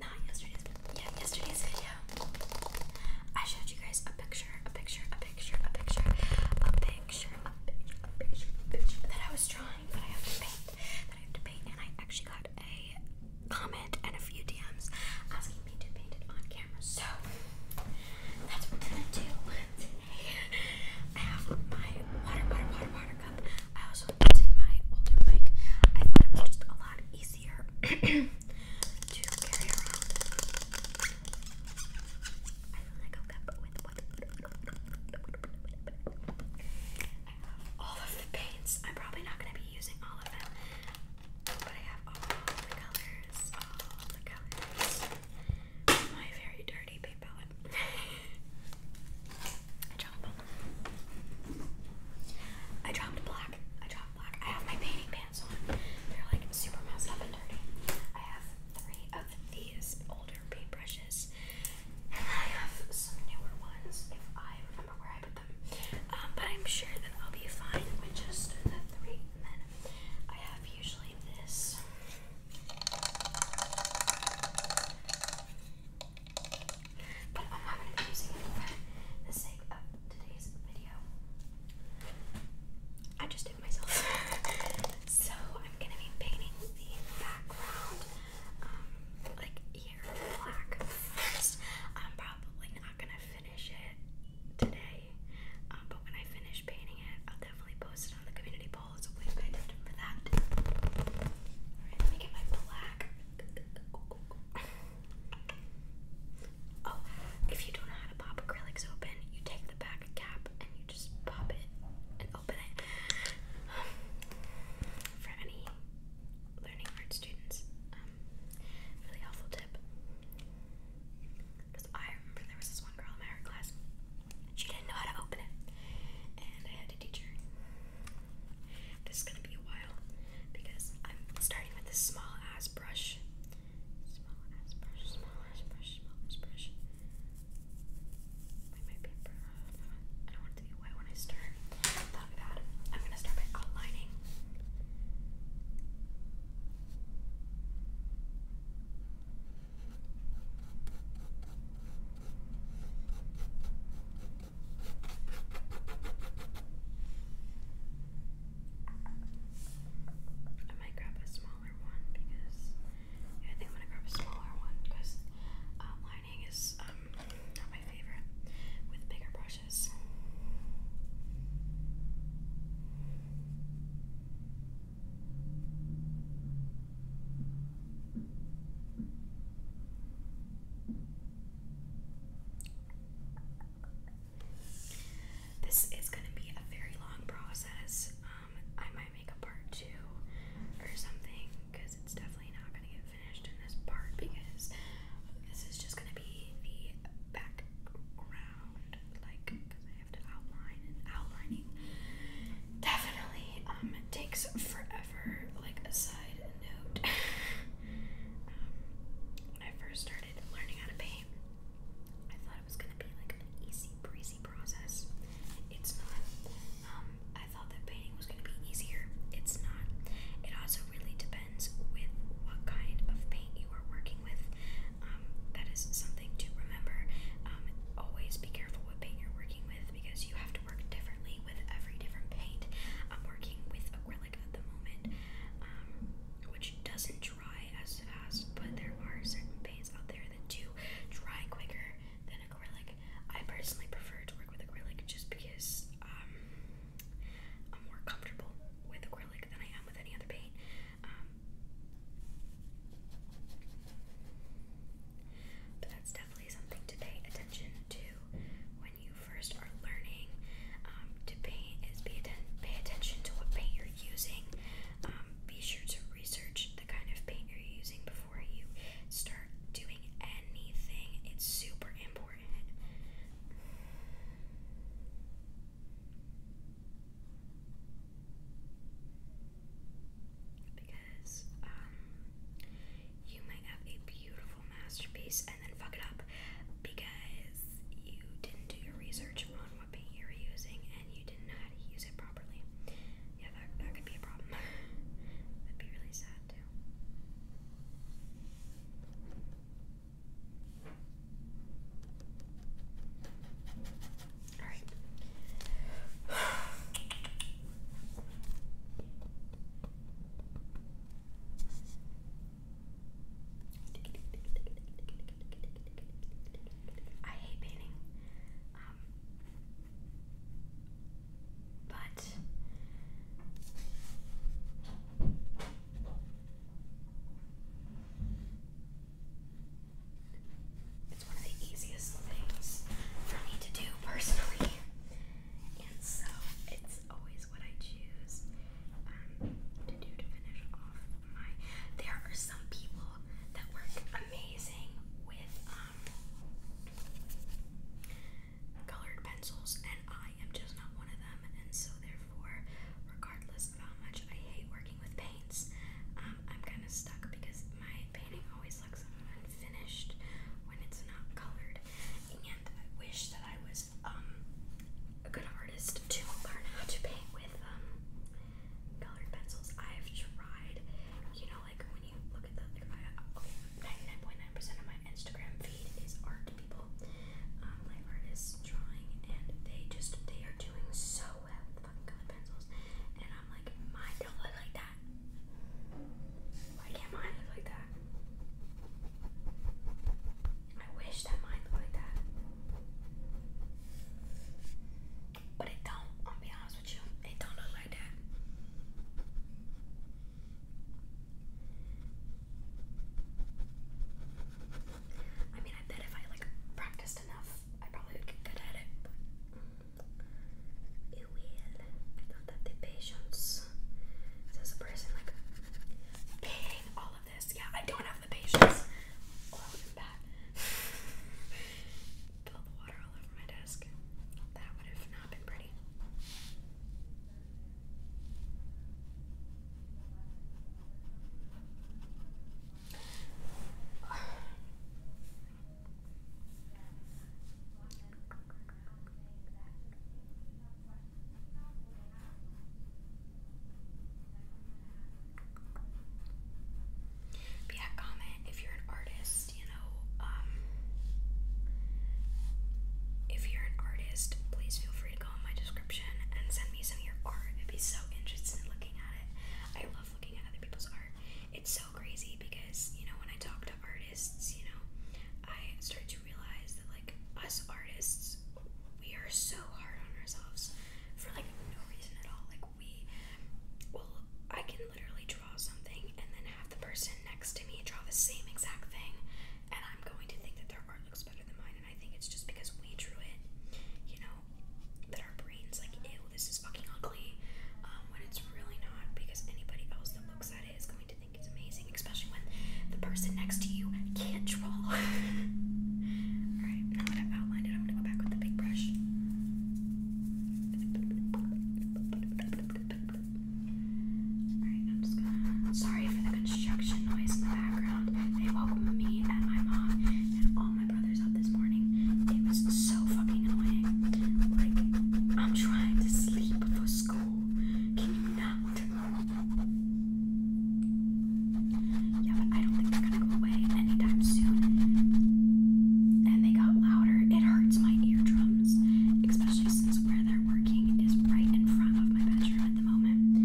not yesterday's yeah yesterday's video I showed you guys a picture a picture a picture a picture a picture a picture a picture a picture that I was drawing that I have to paint that I have to paint and I actually got a comment and a few DMs asking me to paint it on camera so that's what we're gonna do today I have my water water water water I also am using my older mic. I thought it just a lot easier to carry around. I have all of the paints. I'm probably not going to be using all of them. But I have all the colors, all the colors. My very dirty paint palette. I dropped black. I dropped black. I have my painting pants on. They're like super messed up and dirty. I have three of these older paintbrushes. And I have some newer ones if I remember where I put them. Um, but I'm sure that I'll be fine with just the three. And then I have usually this. But I'm going to be using it for the sake of today's video. I just did myself. so I'm going to be painting the background, um, like here black first. I'm probably not going to finish it today, um, but when I finish painting it, I'll definitely post it on the community poll. So please pay attention for that. Alright, let me get my black Oh, if you don't know how to pop acrylics open, you take the back cap and you just pop it and open it. for any learning art students, um, really helpful tip. Because I remember there was this one girl in my art class, she didn't know how to open it, and I to teacher. This is gonna be a while because I'm starting with this small ass brush. Small ass brush, small ass brush, small ass brush. I do be wet when I start. that bad. I'm gonna start by outlining. I might grab a smaller one because I think I'm gonna grab a smaller one because uh, um, is um, not my favorite with bigger brushes. This is going to be a very long process. Um, I might make a part two or something because it's definitely not going to get finished in this part because this is just going to be the background, like because I have to outline and outlining definitely um takes forever however, like a side note, um, when I first started learning how to paint, I thought it was gonna be like an easy breezy process. It's not. Um, I thought that painting was gonna be easier. It's not. It also really depends with what kind of paint you are working with. Um, that is something to remember. always be careful what paint you're working with because you have to work differently with every different paint. I'm working with acrylic at the moment, um, which doesn't dry as fast, but there are certain paints out there that do dry quicker than acrylic. I personally prefer to work with acrylic just because um, I'm more comfortable with acrylic than I am with any other paint. Um, but that's definitely something to pay attention to you first are learning um, to paint is pay, pay attention to what paint you're using. Um, be sure to research the kind of paint you're using before you start doing anything. It's super important. Because um, you might have a beautiful masterpiece and then fuck it up because you didn't do your research on what paint you were using and you didn't know how to use it properly. Yeah, that, that could be a problem. would be really sad too. All right. I hate painting, um, but it's one of the easiest things for me to do personally and so it's always what I choose um, to do to finish off my. There are some people that work amazing with um, colored pencils, and I am just not one of them, and so therefore, regardless of how much I hate working with paints, um, I'm kind of stuck because my painting always always looks unfinished when it's not colored. And I wish that I was um, a good artist to learn how to paint with um, colored pencils. I've tried, you know, like when you look at the like, 99.9% percent of my Instagram feed is art people, um, artists drawing, and they just they are doing so well with fucking colored pencils. And I'm like, mine don't look like that that? can't mine look like that? I wish that mine looked like that. But it don't, I'll be honest with you. It don't look like that. I mean, I bet if I like practiced enough, I probably would get good at it they will. I don't have the patience. There's a person like paying all of this. Yeah, I don't have the patience. Oh, I'm bad. the water all over my desk. That would have not been pretty. But yeah, comment if you're an artist, you know, um if you're an artist, please feel free to go in my description and send me some of your art. I'd be so interested in looking at it. I love looking at other people's art. It's so so crazy because, you know, when I talk to artists, you know, I start to realize that, like, us artists, we are so hard on ourselves for, like, no reason at all. Like, we, well, I can literally draw something and then have the person next to me draw the same exact thing, and I'm going to think that their art looks better than mine, and I think it's just because we drew it, you know, that our brains, like, ew, this is fucking ugly, um, when it's really not because anybody else that looks at it is going going think it's amazing, especially when the person next to you can't draw. Alright, now that I've outlined it, I'm gonna go back with the big brush. Alright, I'm just gonna. Sorry for the construction noise in the background. They woke me and my mom and all my brothers up this morning. It was so fucking annoying. Like, I'm trying to sleep for school can you not? Yeah, but I don't think they're gonna go away anytime soon. And they got louder. It hurts my eardrums, especially since where they're working is right in front of my bedroom at the moment.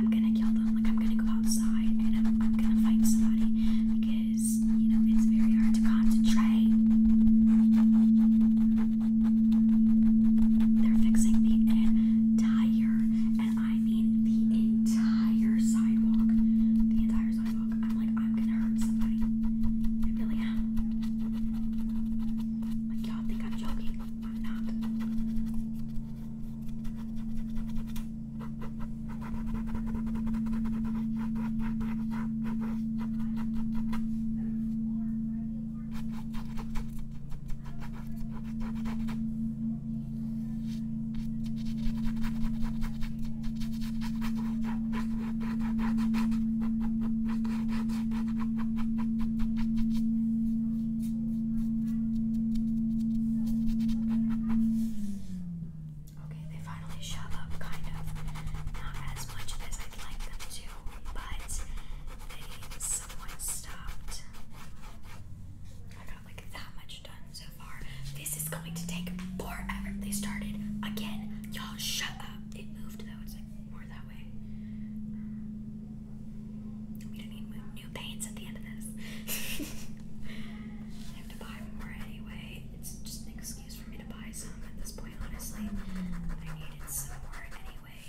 I'm gonna kill them. Like I'm gonna go outside and I'm, I'm gonna fight somebody because you know it's very hard to concentrate. They're fixing the entire, and I mean the entire sidewalk. The entire sidewalk. I'm like, I'm gonna hurt somebody. I really am. Like, y'all think I'm joking. I'm not. Okay, they finally shut up, kind of. Not as much as I'd like them to, but they somewhat stopped. I got like that much done so far. This is going to take forever. They started again. Y'all shut up. It moved though. It's like more that way. We don't need new paints at the end of this. I have to buy more anyway. It's just excuse for me to buy some at this point, honestly. I needed some more anyway.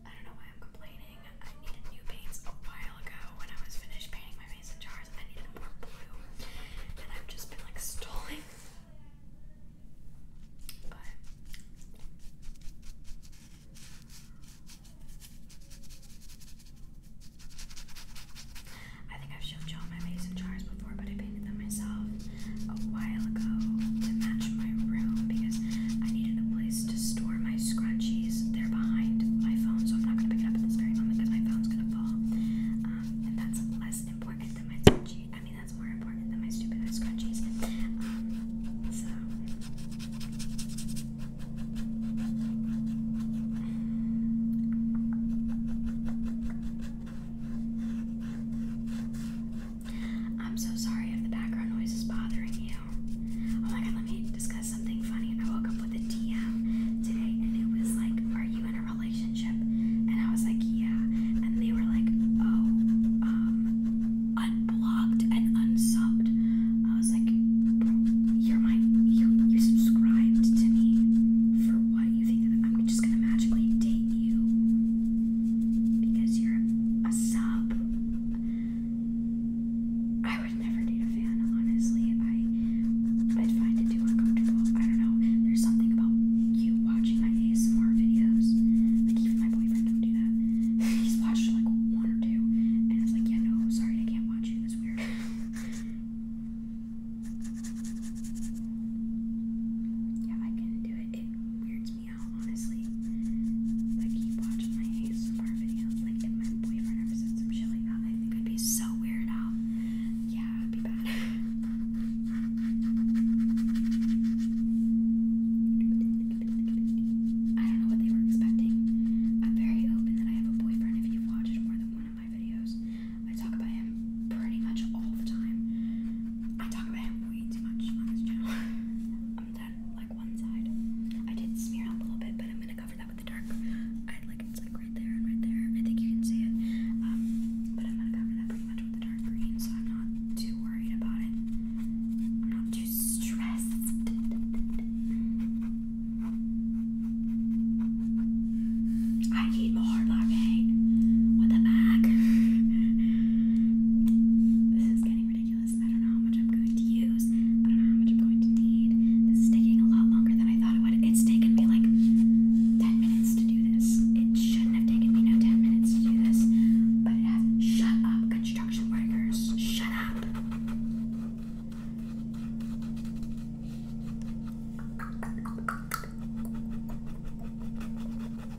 I don't know why I'm complaining. I needed new paints a while ago when I was finished painting my face in jars. I needed more blue, and I've just been like stalling. But I think I've showed y'all my mason jars before, but I painted them myself a while ago to match my room because I needed a place to store my scrunchies. They're behind my phone, so I'm not going to pick it up at this very moment because my phone's going to fall. Um, and that's less important than my scrunchie. I mean, that's more important than my stupid ass scrunchies. Um, so. I'm so sorry if the background noise is bothering you. Oh my god, let me discuss something funny. I woke up with a DM today and it was like, Are you in a relationship? And I was like, Yeah. And they were like, Oh, um, unblocked and unsubbed. I was like, Bro, you're my, you, you subscribed to me for what you think that I'm just gonna magically date you because you're a sub. I would never date a fan, honestly. I I'd find it too uncomfortable. I don't know. There's something about you watching my ASMR videos. Like even my boyfriend don't do that. He's watched like one or two, and it's like, yeah, no, sorry, I can't watch you. It's weird. Yeah, I can do it. It weirds me out, honestly. Like, keep watching my ASMR videos. Like, if my boyfriend ever said some shit like I think I'd be so weird out. Yeah, it would be bad. I don't know what they were expecting. I'm very open that I have a boyfriend if you've watched more than one of my videos. I talk about him pretty much all the time. I talk about him way too much on this channel. I'm done, like one side. I did smear up a little bit, but I'm gonna cover that with the dark. I like it's like right there and right there. I think you can see it. Um, but I'm gonna cover that pretty much with the dark green, so I'm not too worried about it. I'm not too stressed. I need more hard latte with a bag. this is getting ridiculous. I don't know how much I'm going to use. I don't know how much I'm going to need. This is taking a lot longer than I thought it would. It's taken me like 10 minutes to do this. It shouldn't have taken me no 10 minutes to do this, but it has. Shut up, construction workers. Shut up.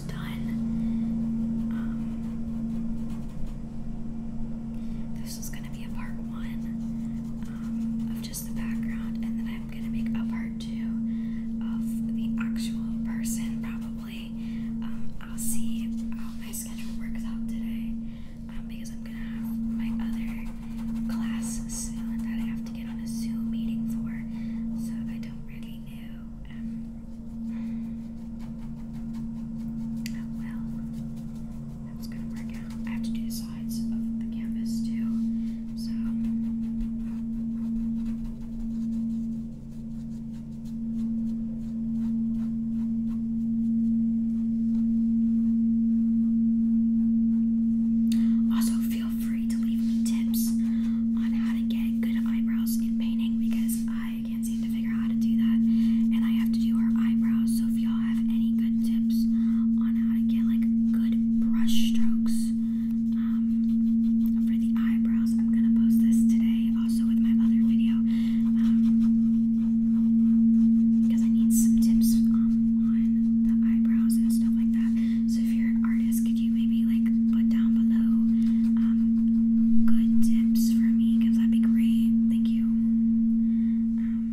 almost done. Um, this is gonna be a part one um, of just the background, and then I'm gonna make a part two of the actual person, probably. Um, I'll see how my schedule works out today um, because I'm gonna have my other class soon that I have to get on a Zoom meeting for, so I don't really know well, that's gonna work out. I have to do the sides of the canvas too, so. Um, also, feel free to leave me tips on how to get good eyebrows in painting because I can't seem to figure how to do that. And I have to do her eyebrows. So if y'all have any good tips on how to get like good brush strokes um, for the eyebrows, I'm gonna post this today also with my other video. because um, I need some tips um, on the eyebrows and stuff like that. So if you're an artist, you maybe like put down below um, good tips for me? Because that'd be great. Thank you. Um,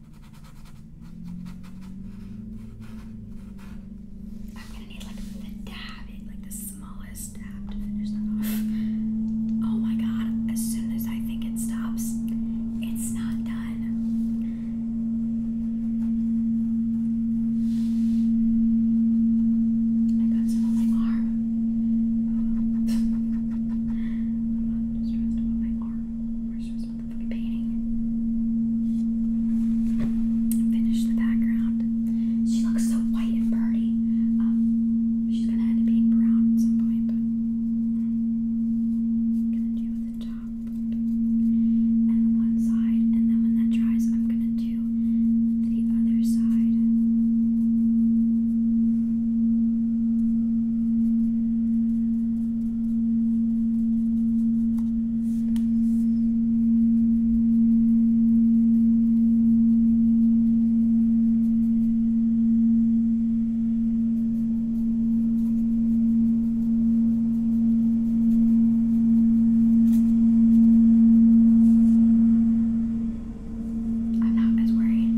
I'm gonna need like the dab, like the smallest dab to finish that off. Oh my god, as soon as I think it stops, it's not done. I got some on my arm. I'm not stressed about my arm, we're Finish the background. She looks so white and pretty. Um, she's gonna end up being brown at some point, but I'm gonna do the top and the one side, and then when that dries, I'm gonna do the other side. I'm not as worried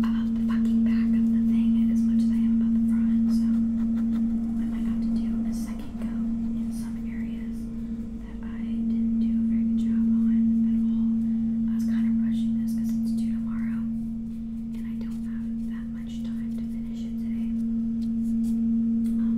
about the fucking back of the thing as much as I am about the front, so that I got to do a second go in some areas that I didn't do a very good job on at all. I was kind of rushing this because it's due tomorrow, and I don't have that much time to finish it today. Um,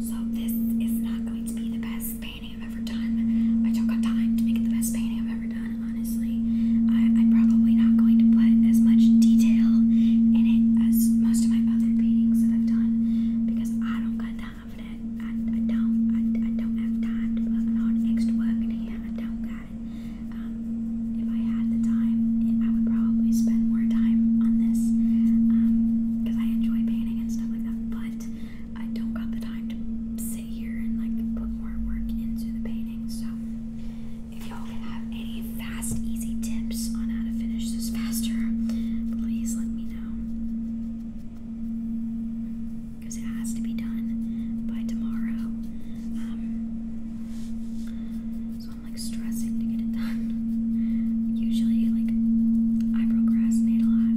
so this is not going to be the best painting I've ever done. I took on time to make it the best painting I've ever done, honestly. I, am probably not going to put as much detail in it as most of my other paintings that I've done because I don't got time for that. I, I don't. I, I don't have time to put all extra work in here. I don't got it. Um, if I had the time, I would probably spend more time on this because um, I enjoy painting and stuff like that. But I don't got the time to sit here and like put more work into the painting. So if y'all can have any fast, easy tips on how to finish this faster, please let me know. Because it has to be done by tomorrow. Um, so I'm like stressing to get it done. Usually, like, I procrastinate a lot,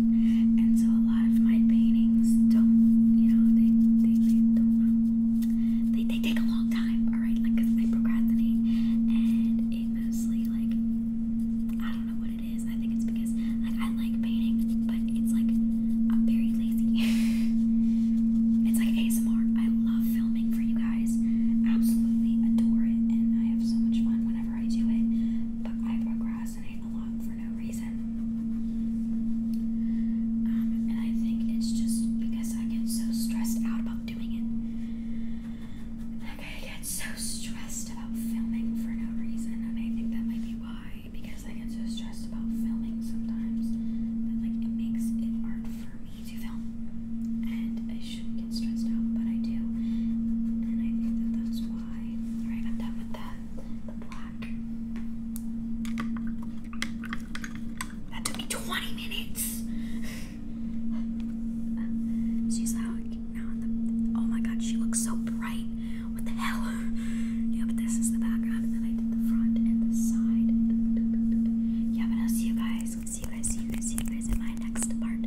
and so a lot of my paintings don't, you know, they, they, they don't, they take a long time, alright? Like, I procrastinate, and it mostly, like, I don't know what it is. I think it's because, like, I like painting, but it's like I'm very lazy. it's like ASMR. I love filming for you guys. Absolutely adore it, and I have so much fun whenever I do it. But I procrastinate a lot for no reason. Um, and I think it's just because I get so stressed out about doing it. Like I get so stressed about filming for no reason, and I think that might be why. Because I get so stressed about filming sometimes that like it makes it hard for me to film, and I shouldn't get stressed out, but I do, and I think that that's why. All right, I'm done with that. The black. That took me 20 minutes. She's like, oh my god, she looks so bright. What the hell? Yeah, but this is the background, and then I did the front and the side. Yeah, but I'll see you guys. See you guys. See you guys. See you guys in my next part.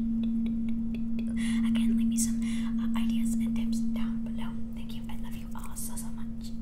Again, leave me some uh, ideas and tips down below. Thank you. I love you all so so much.